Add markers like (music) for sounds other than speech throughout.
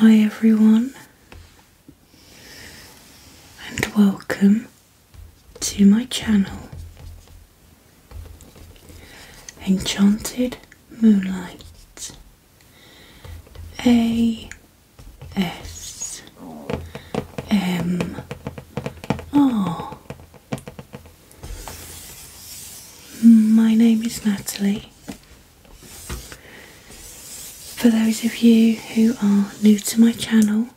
Hi, everyone, and welcome to my channel Enchanted Moonlight, a S M R. My name is Natalie. For those of you who are new to my channel,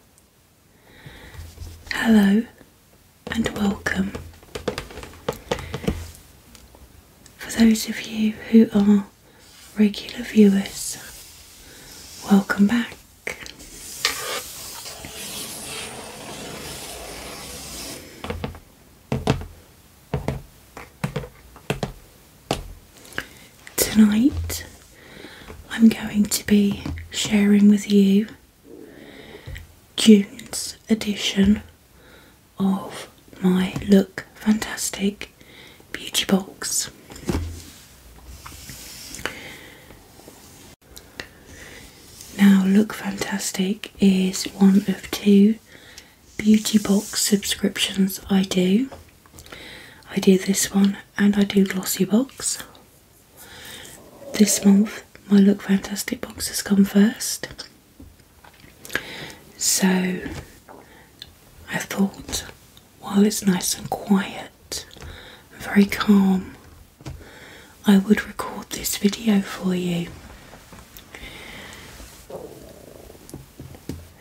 hello and welcome. For those of you who are regular viewers, welcome back. Tonight, I'm going to be sharing with you June's edition of my Look Fantastic Beauty Box. Now, Look Fantastic is one of two beauty box subscriptions I do. I do this one and I do Glossy Box. This month, my Look Fantastic box has come first. So I thought while it's nice and quiet and very calm, I would record this video for you.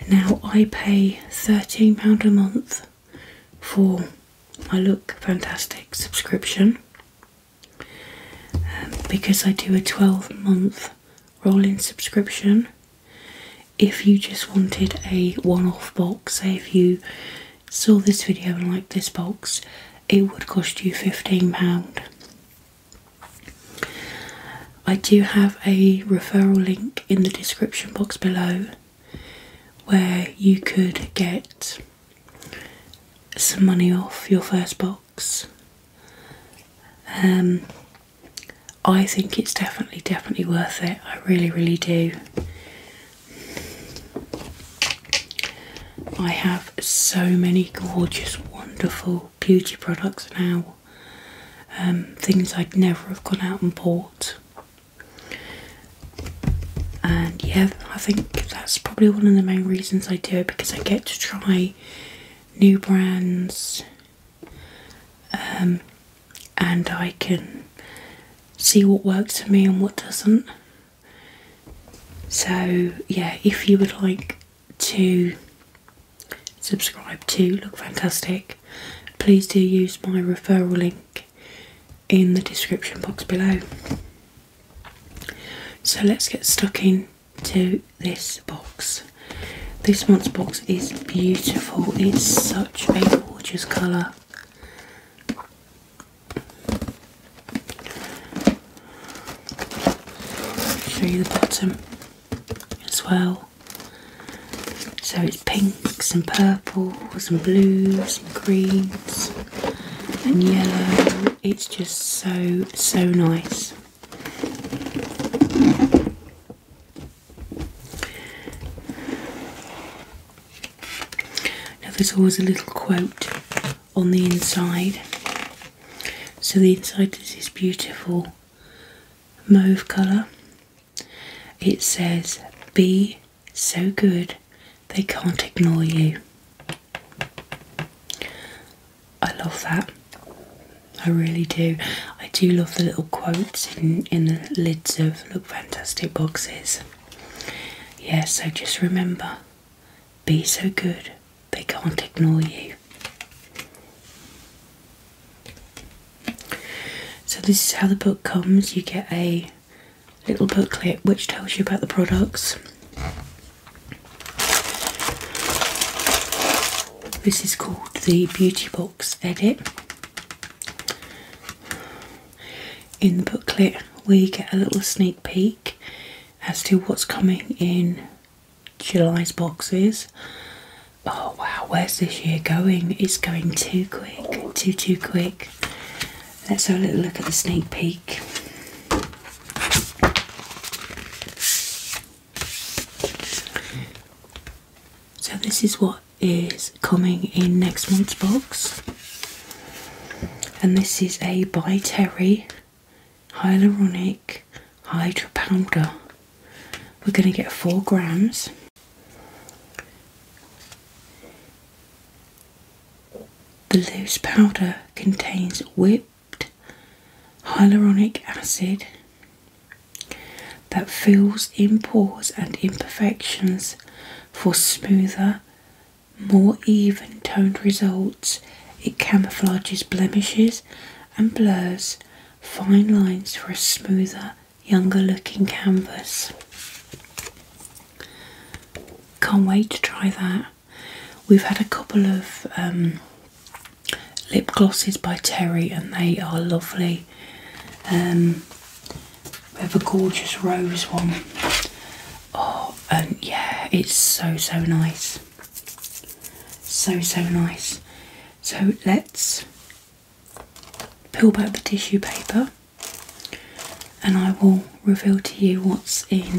Now I pay £13 a month for my Look Fantastic subscription um, because I do a 12 month rolling subscription if you just wanted a one off box, say if you saw this video and liked this box, it would cost you £15. I do have a referral link in the description box below where you could get some money off your first box. Um, I think it's definitely, definitely worth it. I really, really do. I have so many gorgeous, wonderful beauty products now. Um, things I'd never have gone out and bought. And yeah, I think that's probably one of the main reasons I do it because I get to try new brands, um, and I can see what works for me and what doesn't. So, yeah, if you would like to subscribe to Look Fantastic, please do use my referral link in the description box below. So, let's get stuck in to this box. This month's box is beautiful. It's such a gorgeous colour. Through the bottom as well. So it's pinks and purples and blues and greens and yellow. It's just so, so nice. Now, there's always a little quote on the inside. So, the inside is this beautiful mauve colour. It says, Be so good they can't ignore you. I love that. I really do. I do love the little quotes in, in the lids of Look Fantastic boxes. Yes. so just remember be so good, they can't ignore you. So, this is how the book comes you get a little booklet which tells you about the products. This is called the Beauty Box Edit. In the booklet, we get a little sneak peek as to what's coming in July's boxes. Oh wow, where's this year going? It's going too quick, too, too quick. Let's have a little look at the sneak peek. So, this is what is coming in next month's box, and this is a By Terry Hyaluronic Hydra Powder. We're going to get four grams. The loose powder contains whip hyaluronic acid that fills in pores and imperfections for smoother, more even toned results. It camouflages blemishes and blurs fine lines for a smoother, younger looking canvas. Can't wait to try that. We've had a couple of um, lip glosses by Terry, and they are lovely. Um, we have a gorgeous rose one. Oh, and yeah, it's so so nice. So so nice. So let's peel back the tissue paper and I will reveal to you what's in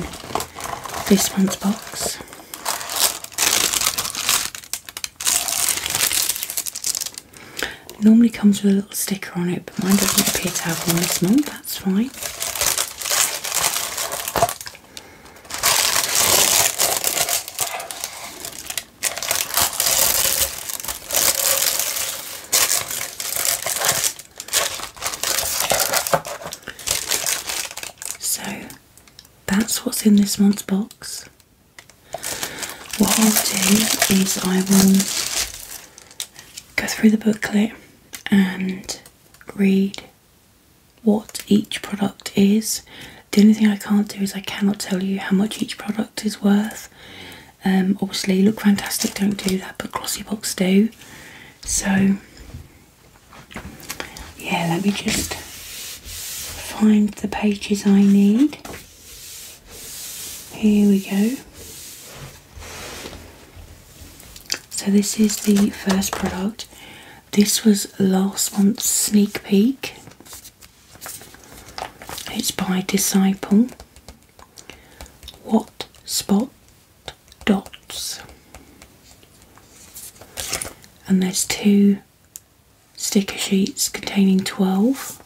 this month's box normally comes with a little sticker on it, but mine doesn't appear to have one this month, that's fine. So that's what's in this month's box. What I'll do is I will go through the booklet and read what each product is. The only thing I can't do is I cannot tell you how much each product is worth. Um, obviously, look fantastic, don't do that, but glossy box do. So yeah, let me just find the pages I need. Here we go. So, this is the first product. This was last month's sneak peek. It's by Disciple. What spot dots? and there's two sticker sheets containing 12.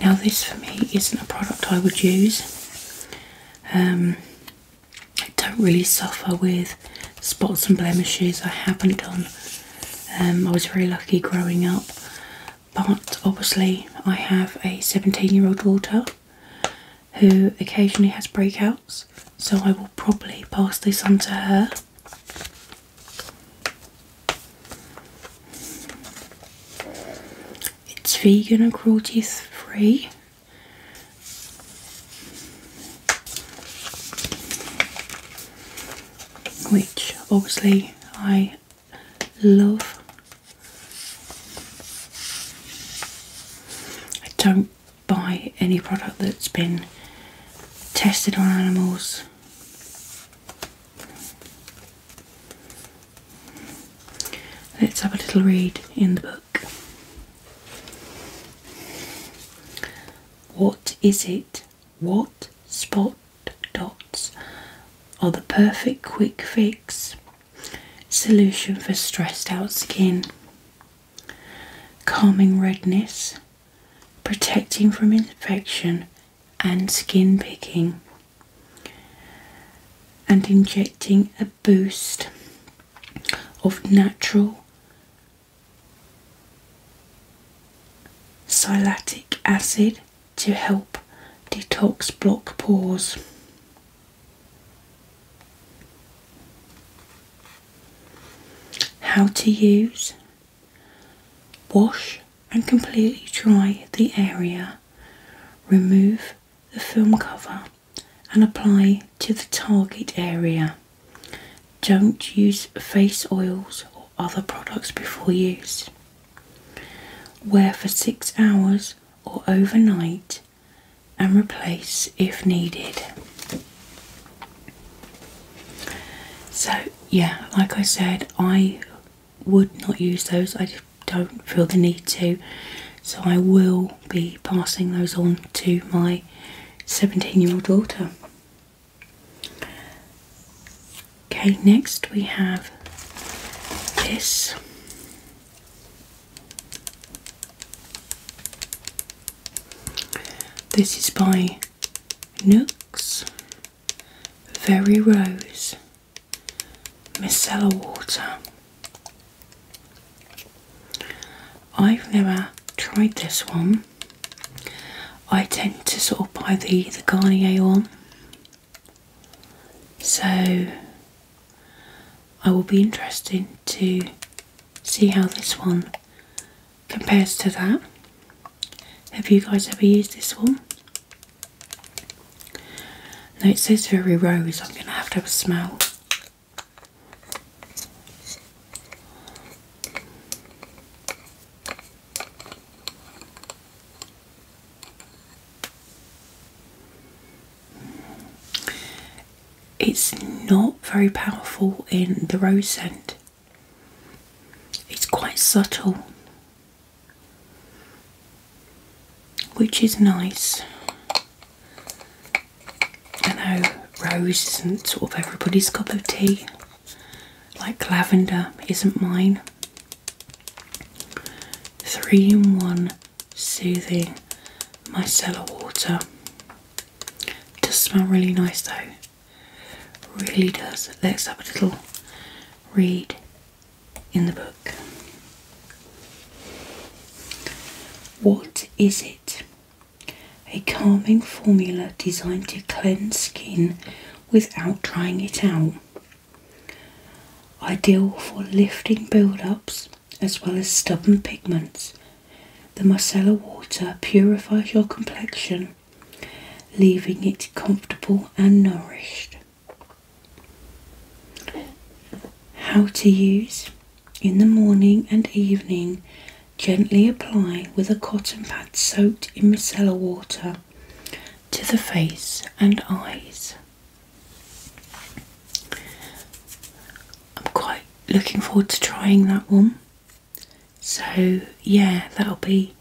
Now, this for me isn't a product I would use. Um, I don't really suffer with spots and blemishes. I haven't done. Um, I was very lucky growing up, but obviously I have a 17-year-old daughter, who occasionally has breakouts, so I will probably pass this on to her. It's vegan and cruelty free. Which obviously I love. I don't buy any product that's been tested on animals. Let's have a little read in the book. What is it? What spot dots are the perfect quick fix Solution for stressed out skin. Calming redness, protecting from infection and skin picking, and injecting a boost of natural silatic acid to help detox block pores. How to use. Wash and completely dry the area. Remove the film cover and apply to the target area. Don't use face oils or other products before use. Wear for six hours or overnight and replace if needed. So, yeah, like I said, I would not use those, I don't feel the need to, so I will be passing those on to my 17 year old daughter. Okay, next we have this. This is by Nooks, Very Rose, Micellar Water. I've never tried this one. I tend to sort of buy the, the Garnier one. So I will be interested to see how this one compares to that. Have you guys ever used this one? Now it says very rose, I'm going to have to have a smell. It's not very powerful in the rose scent. It's quite subtle, which is nice. I know rose isn't sort of everybody's cup of tea, like lavender isn't mine. Three in one soothing micellar water. does smell really nice though. Really does. Let's have a little read in the book. What is it? A calming formula designed to cleanse skin without drying it out ideal for lifting build-ups as well as stubborn pigments. The Marcella water purifies your complexion, leaving it comfortable and nourished. How to use in the morning and evening, gently apply with a cotton pad soaked in micellar water to the face and eyes. I'm quite looking forward to trying that one. So, yeah, that'll be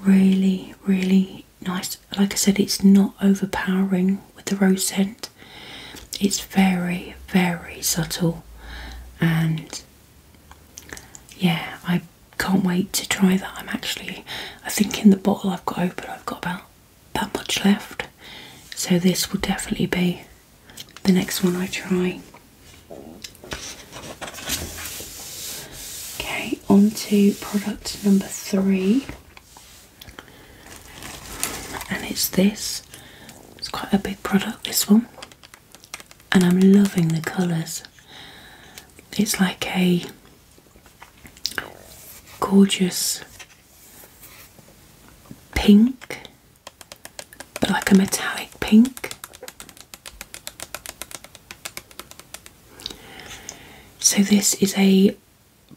really, really nice. Like I said, it's not overpowering with the rose scent, it's very, very subtle. And yeah, I can't wait to try that. I'm actually, I think in the bottle I've got open, I've got about that much left, so this will definitely be the next one I try. Okay, on to product number three, and it's this. It's quite a big product, this one, and I'm loving the colours. It's like a gorgeous pink, but like a metallic pink. So, this is a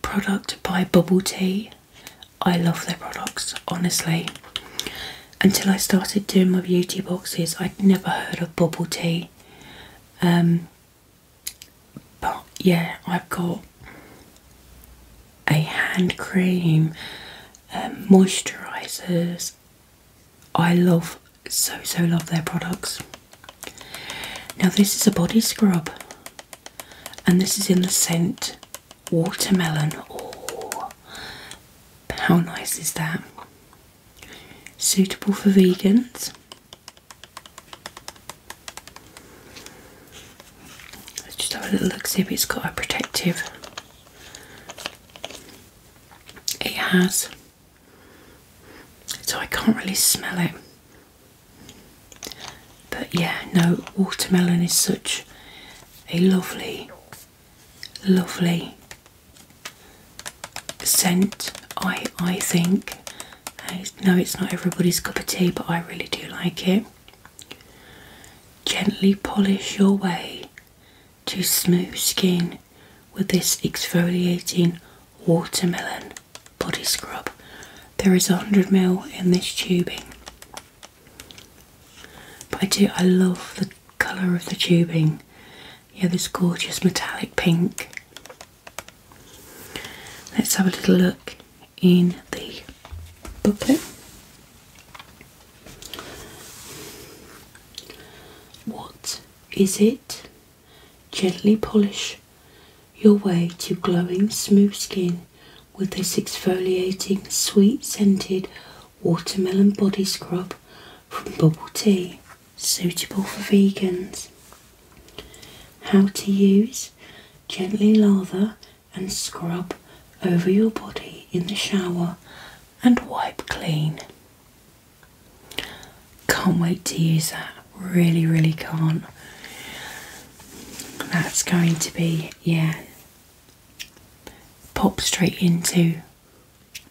product by Bubble Tea. I love their products, honestly. Until I started doing my beauty boxes, I'd never heard of Bubble Tea. Um, but yeah, I've got a hand cream, um, moisturisers. I love, so so love their products. Now this is a body scrub, and this is in the scent watermelon. Oh, how nice is that? Suitable for vegans. Let's just have a little look, see if it's got a protective. It has, so I can't really smell it. But yeah, no, watermelon is such a lovely, lovely scent. I I think no, it's not everybody's cup of tea, but I really do like it. Gently polish your way to smooth skin with this exfoliating watermelon body scrub. There is 100ml in this tubing. But I do, I love the colour of the tubing. Yeah, this gorgeous metallic pink. Let's have a little look in the booklet. What is it? Gently polish your way to glowing smooth skin with this exfoliating, sweet scented watermelon body scrub from Bubble Tea, suitable for vegans. How to use gently lather and scrub over your body in the shower and wipe clean. Can't wait to use that, really, really can't. That's going to be, yeah, pop straight into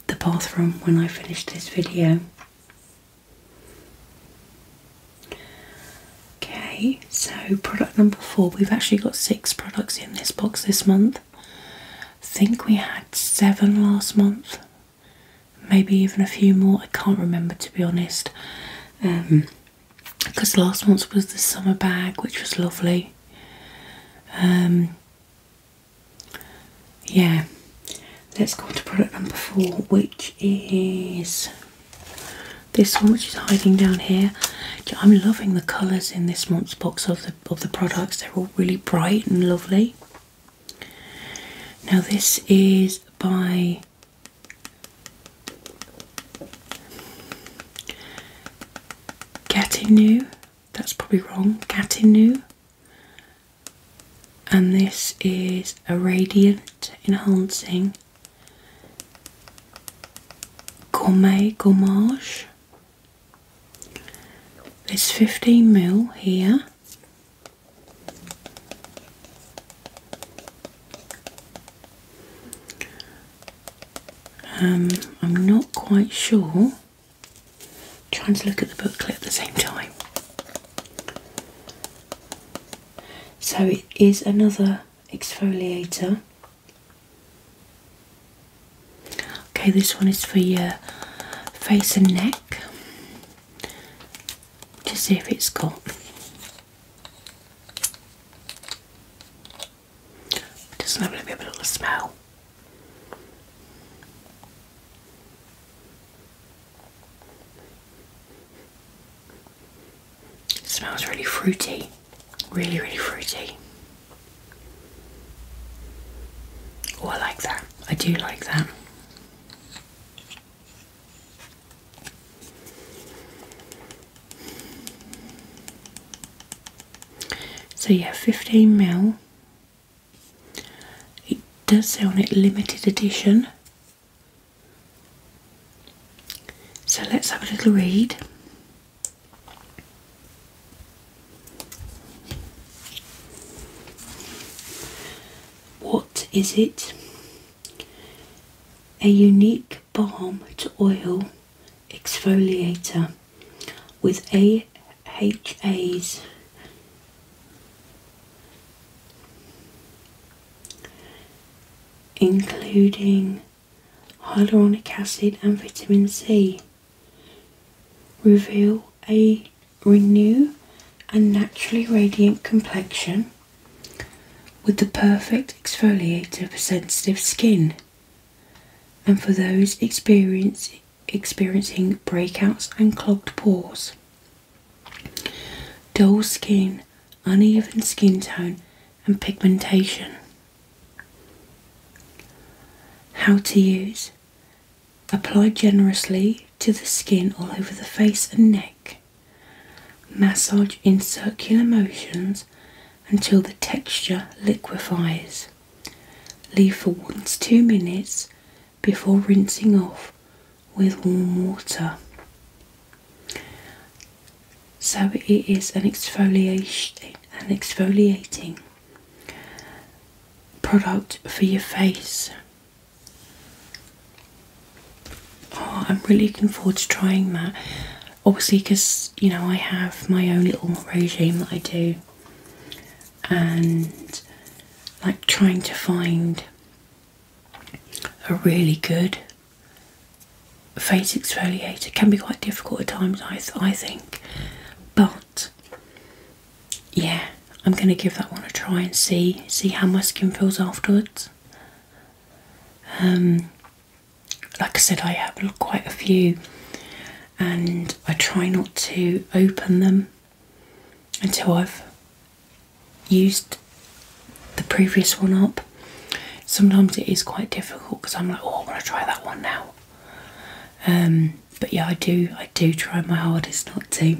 the bathroom when I finish this video. Okay, so product number four. We've actually got six products in this box this month. I think we had seven last month, maybe even a few more. I can't remember to be honest. because um, last month was the summer bag, which was lovely. Um, yeah, Let's go to product number four, which is this one, which is hiding down here. I'm loving the colours in this month's box of the of the products. They're all really bright and lovely. Now this is by Gatineau. That's probably wrong. Gatineau and this is a radiant enhancing gourmet gourmage It's 15 mil here um, I'm not quite sure trying to look at the booklet at the same time so it is another exfoliator. Okay, this one is for your face and neck to see if it's got. Doesn't have a little bit of a smell. It smells really fruity, really, really fruity. Oh, I like that. I do like that. So yeah, 15 mil. It does say on it limited edition, so let's have a little read. What is it? A unique balm to oil exfoliator with AHAs including hyaluronic acid and vitamin C. Reveal a renewed and naturally radiant complexion with the perfect exfoliator for sensitive skin and for those experiencing breakouts and clogged pores. Dull skin, uneven skin tone, and pigmentation. How to use Apply generously to the skin all over the face and neck. Massage in circular motions until the texture liquefies. Leave for 1 to 2 minutes before rinsing off with warm water. So it is an exfoliation, an exfoliating product for your face. Oh, I'm really looking forward to trying that. Obviously, because you know I have my own little regime that I do, and like trying to find a really good face exfoliator can be quite difficult at times I, I think but yeah I'm gonna give that one a try and see see how my skin feels afterwards um like I said I have quite a few and I try not to open them and so I've used the previous one up. Sometimes it is quite difficult because I'm like, oh, I am going to try that one now. Um, but yeah, I do. I do try my hardest not to.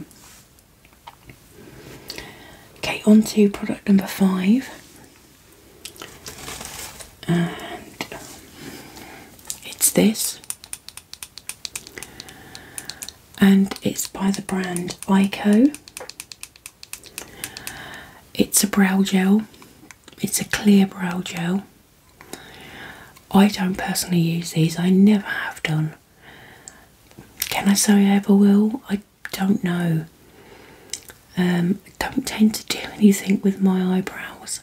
Okay, on to product number five, and it's this and it's by the brand Ico. It's a brow gel, it's a clear brow gel. I don't personally use these, I never have done. Can I say I ever will? I don't know. I um, don't tend to do (laughs) anything with my eyebrows,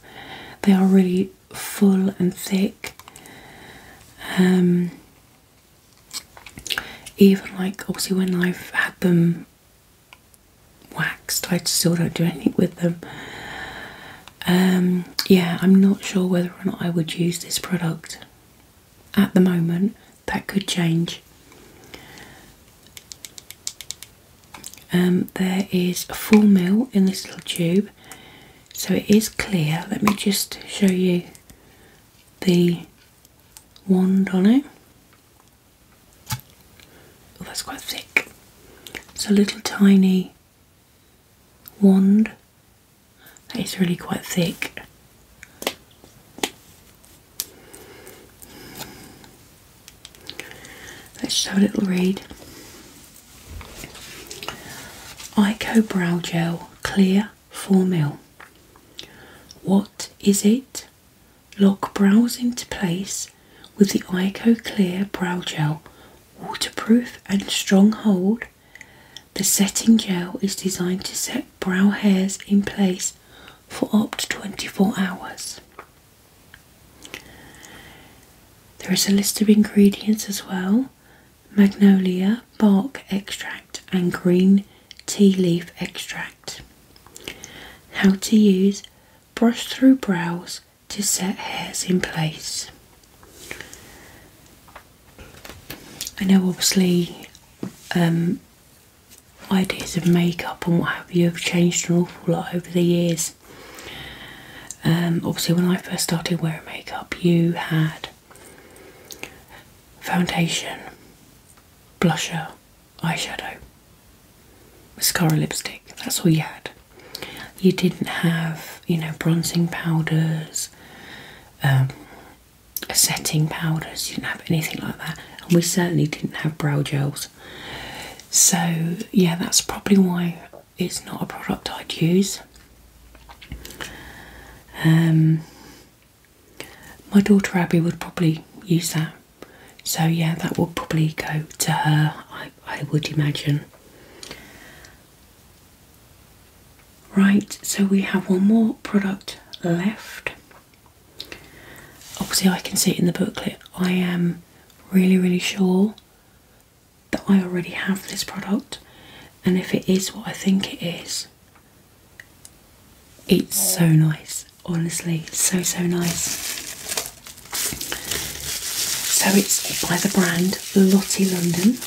they are really full and thick. Um, even like obviously when I've had them waxed, I still don't do anything with them. Um, yeah, I'm not sure whether or not I would use this product at the moment. That could change. Um, there is a full mil in this little tube, so it is clear. Let me just show you the wand on it. Oh, that's quite thick. It's a little tiny wand It's really quite thick. Let's just have a little read. Ico Brow Gel clear formil. What is it? Lock brows into place with the Ico Clear Brow Gel, waterproof and strong hold. The setting gel is designed to set brow hairs in place for up to 24 hours. There is a list of ingredients as well magnolia bark extract, and green tea leaf extract. How to use brush through brows to set hairs in place. I know, obviously, um, ideas of makeup and what have you have changed an awful lot over the years. Um, obviously, when I first started wearing makeup, you had Foundation, blusher, eyeshadow, mascara, lipstick. That's all you had. You didn't have, you know, bronzing powders, um, setting powders. You didn't have anything like that, and we certainly didn't have brow gels. So yeah, that's probably why it's not a product I'd use. Um, my daughter Abby would probably use that, so yeah, that would probably go to her. I, I would imagine. Right, so we have one more product left. Obviously, I can see it in the booklet. I am really, really sure that I already have this product, and if it is what I think it is, it's so nice. Honestly, so so nice. So it's by the brand Lottie London.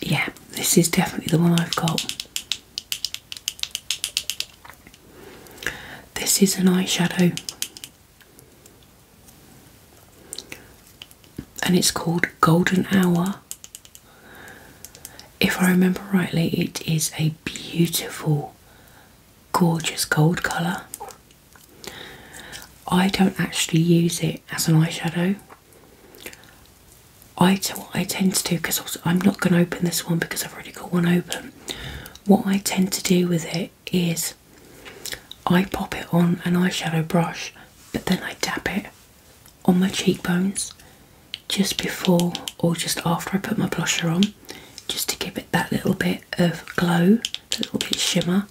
Yeah, this is definitely the one I've got. This is an eyeshadow and it's called Golden Hour. If I remember rightly, it is a beautiful, gorgeous gold colour. I don't actually use it as an eyeshadow. I, tend to do because I'm not going to open this one because I've already got one open what I tend to do with it is I pop it on an eyeshadow brush, but then I dab it on my cheekbones just before or just after I put my blusher on, just to give it that little bit of glow, a little bit shimmer.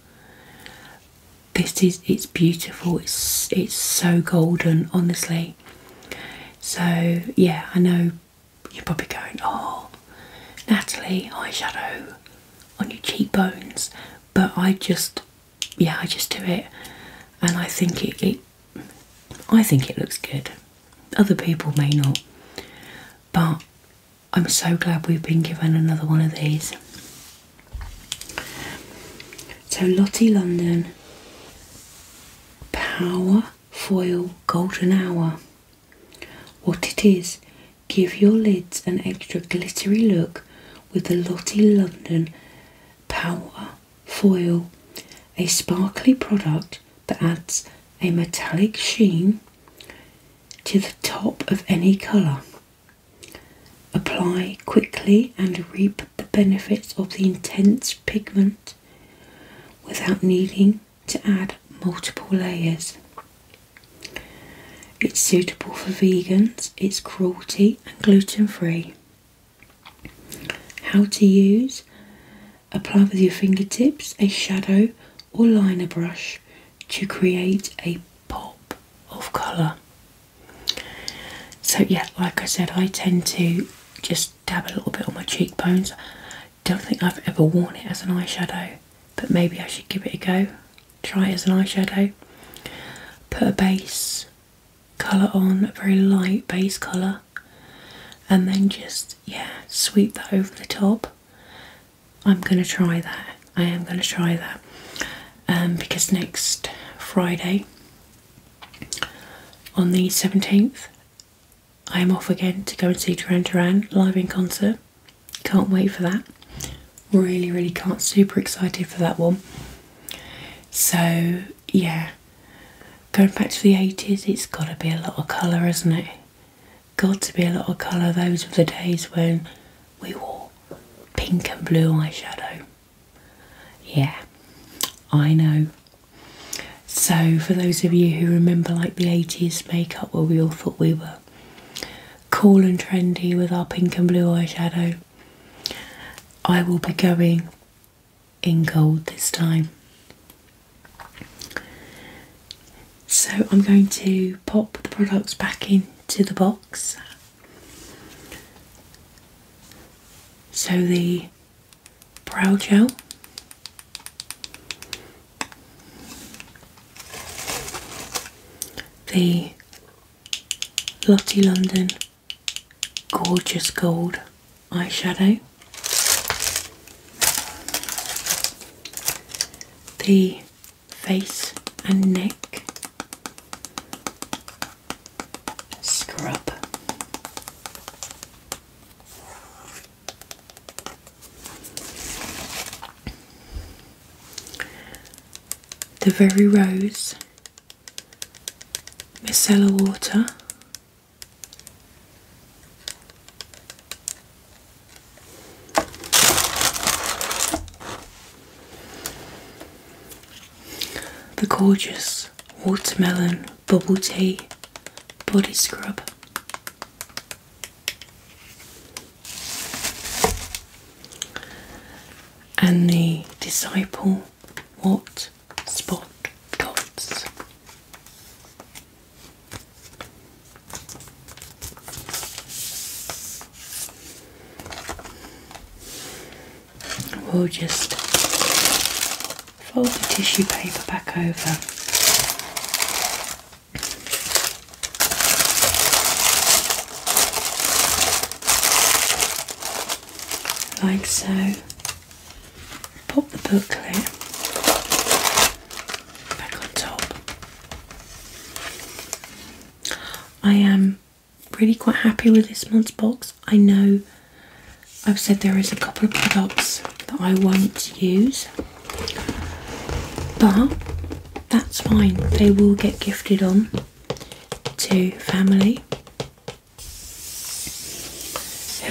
This is it's beautiful. It's it's so golden, honestly. So yeah, I know you're probably going, oh, Natalie, eyeshadow on your cheekbones. But I just, yeah, I just do it, and I think it, it I think it looks good. Other people may not, but I'm so glad we've been given another one of these. So Lottie London Power Foil Golden Hour. What it is, give your lids an extra glittery look with the Lottie London Power Foil, a sparkly product that adds a metallic sheen to the top of any colour. Apply quickly and reap the benefits of the intense pigment without needing to add multiple layers. It's suitable for vegans, it's cruelty and gluten free. How to use Apply with your fingertips a shadow or liner brush to create a pop of colour. So, yeah, like I said, I tend to just dab a little bit on my cheekbones. Don't think I've ever worn it as an eyeshadow, but maybe I should give it a go. Try it as an eyeshadow. Put a base colour on, a very light base colour, and then just, yeah, sweep that over the top. I'm going to try that. I am going to try that um, because next Friday on the 17th I am off again to go and see Duran Duran live in concert. Can't wait for that. Really, really can't. Super excited for that one. So, yeah, going back to the 80s, it's got to be a lot of colour, isn't it? Got to be a lot of colour. Those were the days when we wore pink and blue eyeshadow. Yeah, I know. So, for those of you who remember like the 80s makeup where we all thought we were cool and trendy with our pink and blue eyeshadow, I will be going in gold this time. So, I'm going to pop the products back into the box. So, the brow gel. The Lottie London Gorgeous Gold eyeshadow. The face and neck scrub. The Very Rose, Micellar Water, the gorgeous watermelon bubble tea body scrub. And the Disciple What Spot Dots. We'll just Fold the tissue paper back over. Like so. Pop the booklet back on top. I am really quite happy with this month's box. I know I've said there is a couple of products that I won't use, but that's fine. They will get gifted on to family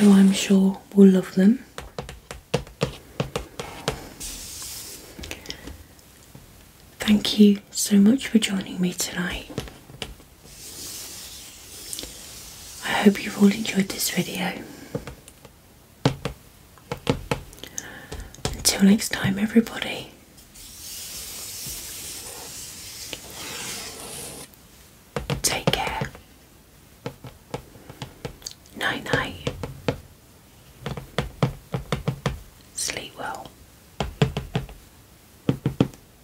who I'm sure will love them. Thank you so much for joining me tonight. I hope you've all enjoyed this video. Until next time, everybody, take care. Night night. Sleep well.